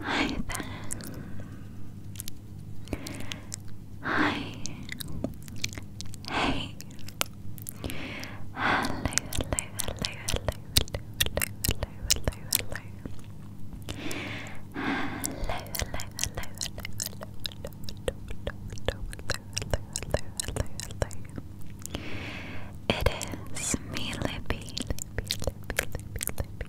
Hi there. Hi. Hey. Hello, hello, hello, hello, hello, hello, hello, hello, hello. Hello, hello, hello, It is me, Libby, Libby, Libby, Libby, Libby,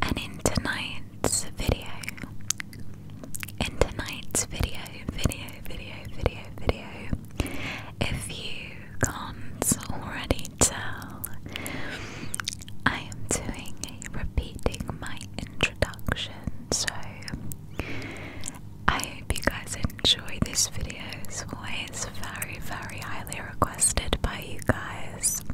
And in tonight's video, in tonight's video, video, video, video, video, if you can't already tell, I am doing a repeating my introduction, so I hope you guys enjoy this video as always, very, very highly requested by you guys.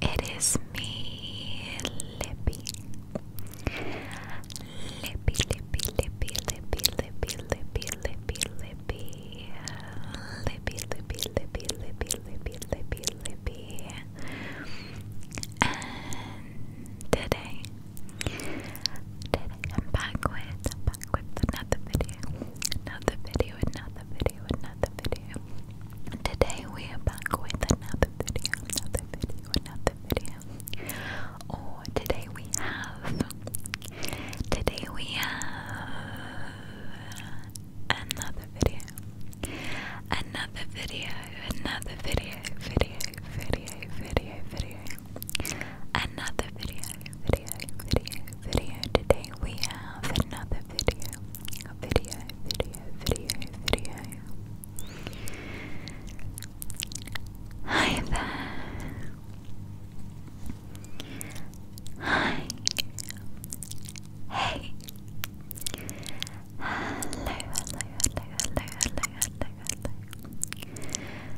It is me, Lippy. Lippy, Lippy, Lippy, Lippy, Lippy, Lippy, Lippy, Lippy, Lippy, Lippy, Lippy, Lippy, Lippy, Lippy, And today, today I'm back with back with another video, another video, another video, another video. Today we are back with another video, another video, another video. Or oh, today we have, today we have another video, another video, another video, video, video, video, video another video, video, video, video. Today we have another video, video, video, video, video. Hi there. Hi. Hey. Hello, hello, hello, hello, hello, hello, hello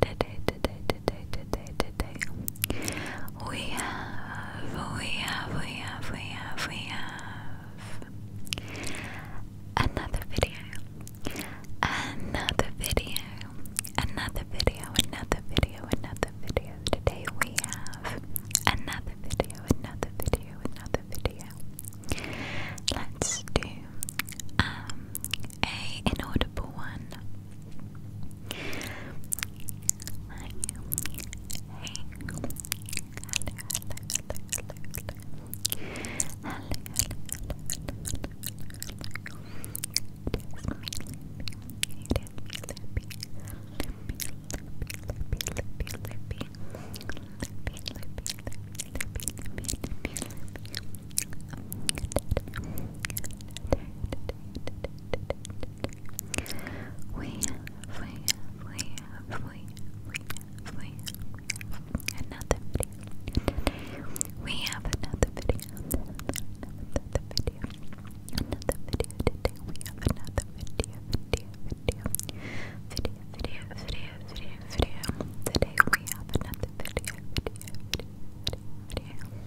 today, today, today, today, today. We have, we have, we have, we have, another video, another video, another video, another video, another video. Today we have another video, another video, another video. Let's do um a inaudible one. We we we we we another video. We have another video. Another video. Another video today. We have another video. Video. Video. Video. Video. Video. Today we have another Video. Video. Video. Video.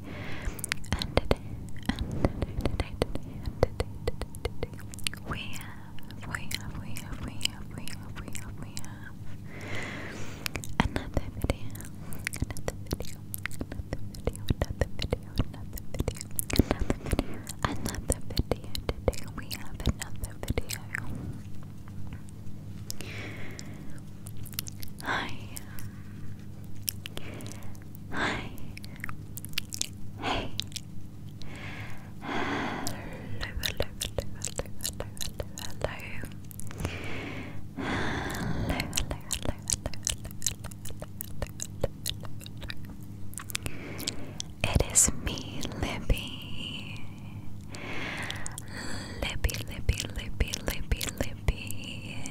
And today, and today, today, today, and today, today, today, we have, we have, we have, we have, we have, we have, we have another video, another video, another video, another video, another video, another video, another video. Today we have another video. Hi, Hi. Hey. Hello, hello, hello, hello, hello, hello, hello. Hello, hello, hello, hello, hello, hello, It is me, Libby. Libby, Libby, Libby, Libby, Libby.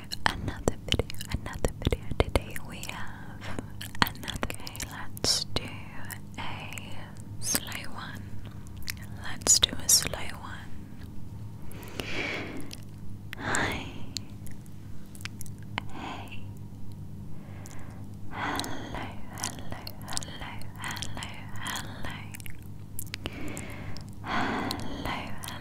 another video, another video. Today we have another. let's do a slow one. Let's do a slow one. Hi. Hey. hello, hello, hello. Hello, hello,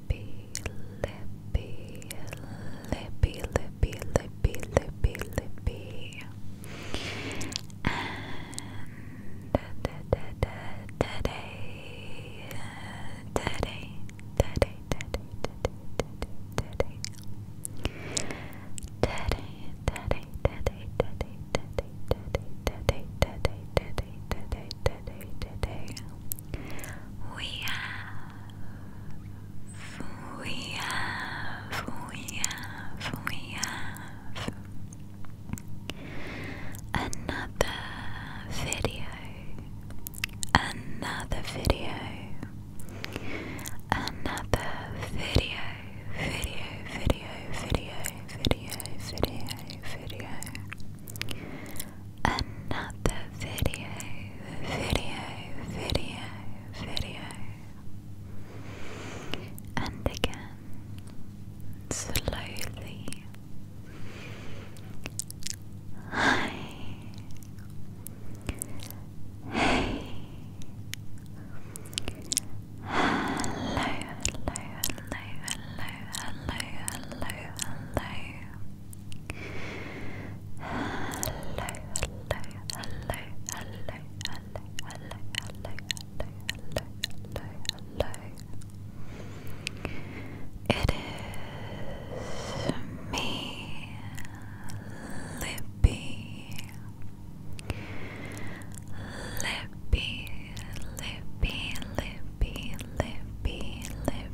lippy, lippy, lippy, lippy, lippy, lippy, lippy, and today, today, today, today, today, today, today, today, today, today, today, today, today, today, today, today, we have, we have, we have, we have another video, another video, another video, video, video, video, video, video, video another video, video, video, video. And again, slowly. Hi. Hey. Hello, hello, hello, hello, hello, hello, hello, It is me, Lippy. Lippy, Lippy, Lippy, Lippy, Lippy.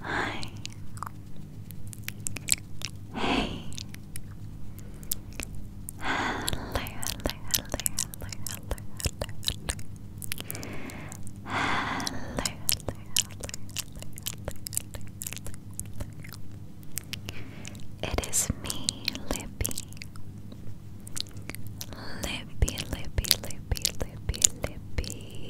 Hi. Hey. Hello, hello, hello, hello, hello, hello. Hello, hello, It is me, Libby. Libby, Libby, Libby, Libby, Libby.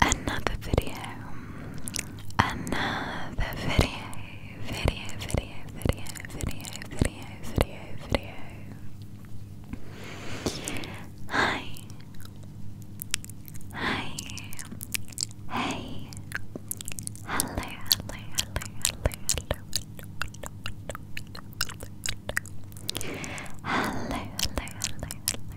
Another video. Another video. Video, video, video, video, video, video, video. Hi. Hi. Hey. Hello, hello, hello, hello, hello, hello,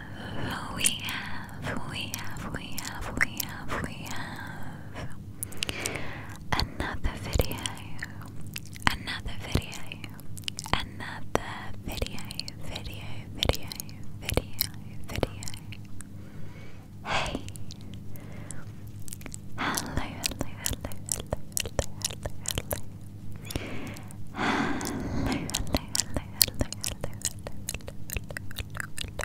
we have, we have, we have, we have, we have another video, another video, another video, video, video, video, video. Hey! Hello, hello, hello, hello, hello, hello, hello. Hello, hello, hello, hello, hello, hello, hello, hello, hello, hello,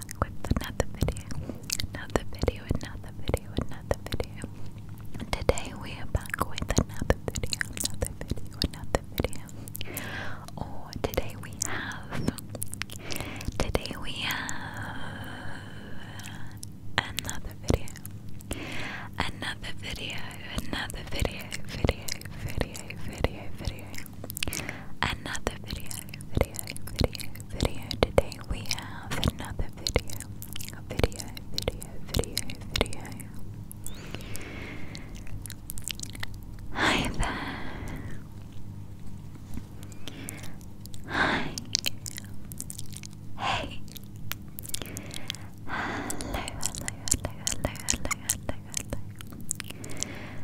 back with another video, another video, another video, another video. Today we are back with another video, another video, another video. Or today we have, today we have another video, another video, another video, video, video, video, video, another video, video video, video, video. Today we have another video. A video, video, video, video. Hi there. Hi. Hey. Hello, hello, hello, hello, hello, hello, hello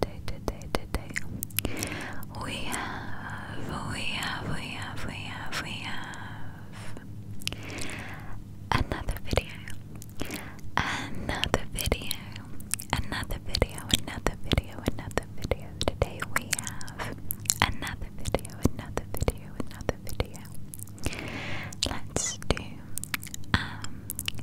today, today, today. We have, we have, we have, we have, we have another video, another video, another video, another video, another video. Today we have another video, another video, another video. Let's do um,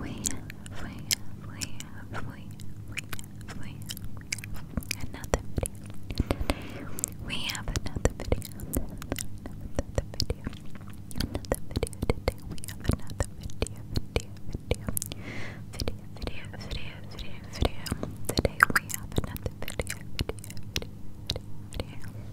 We have, we have, we have, we have, we have another video. We have another video. Another, video. Another video today. We have another video, video, video. Video, video, video, video, video. Today we have another video, video, video, video, video.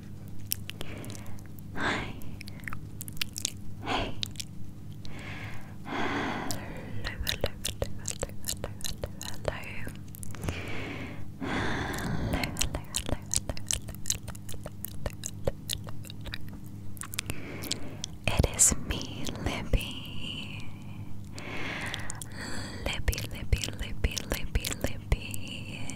Hi. Hey. Hello, hello, hello, hello, hello, hello, hello. Hello, hello, hello, hello, hello, hello. It is me, Libby. Libby, Libby, Libby, Libby, Libby.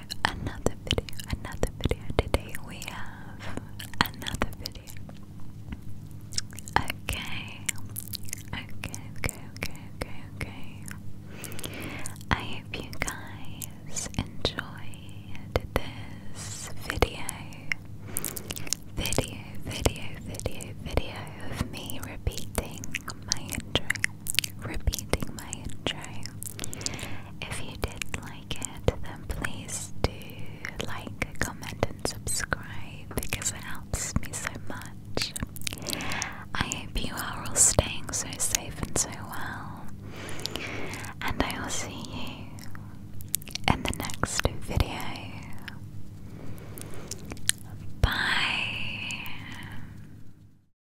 video, another video, another video. Today we have another video. Okay, okay, okay, okay, okay, okay. I hope you guys enjoyed this video. Video, video, video, video of me repeating my intro repeating my intro. If you did like it, then please do like, comment, and subscribe because it helps me so much. I hope you are all staying so safe and so well, and I will see you in the next video. Bye.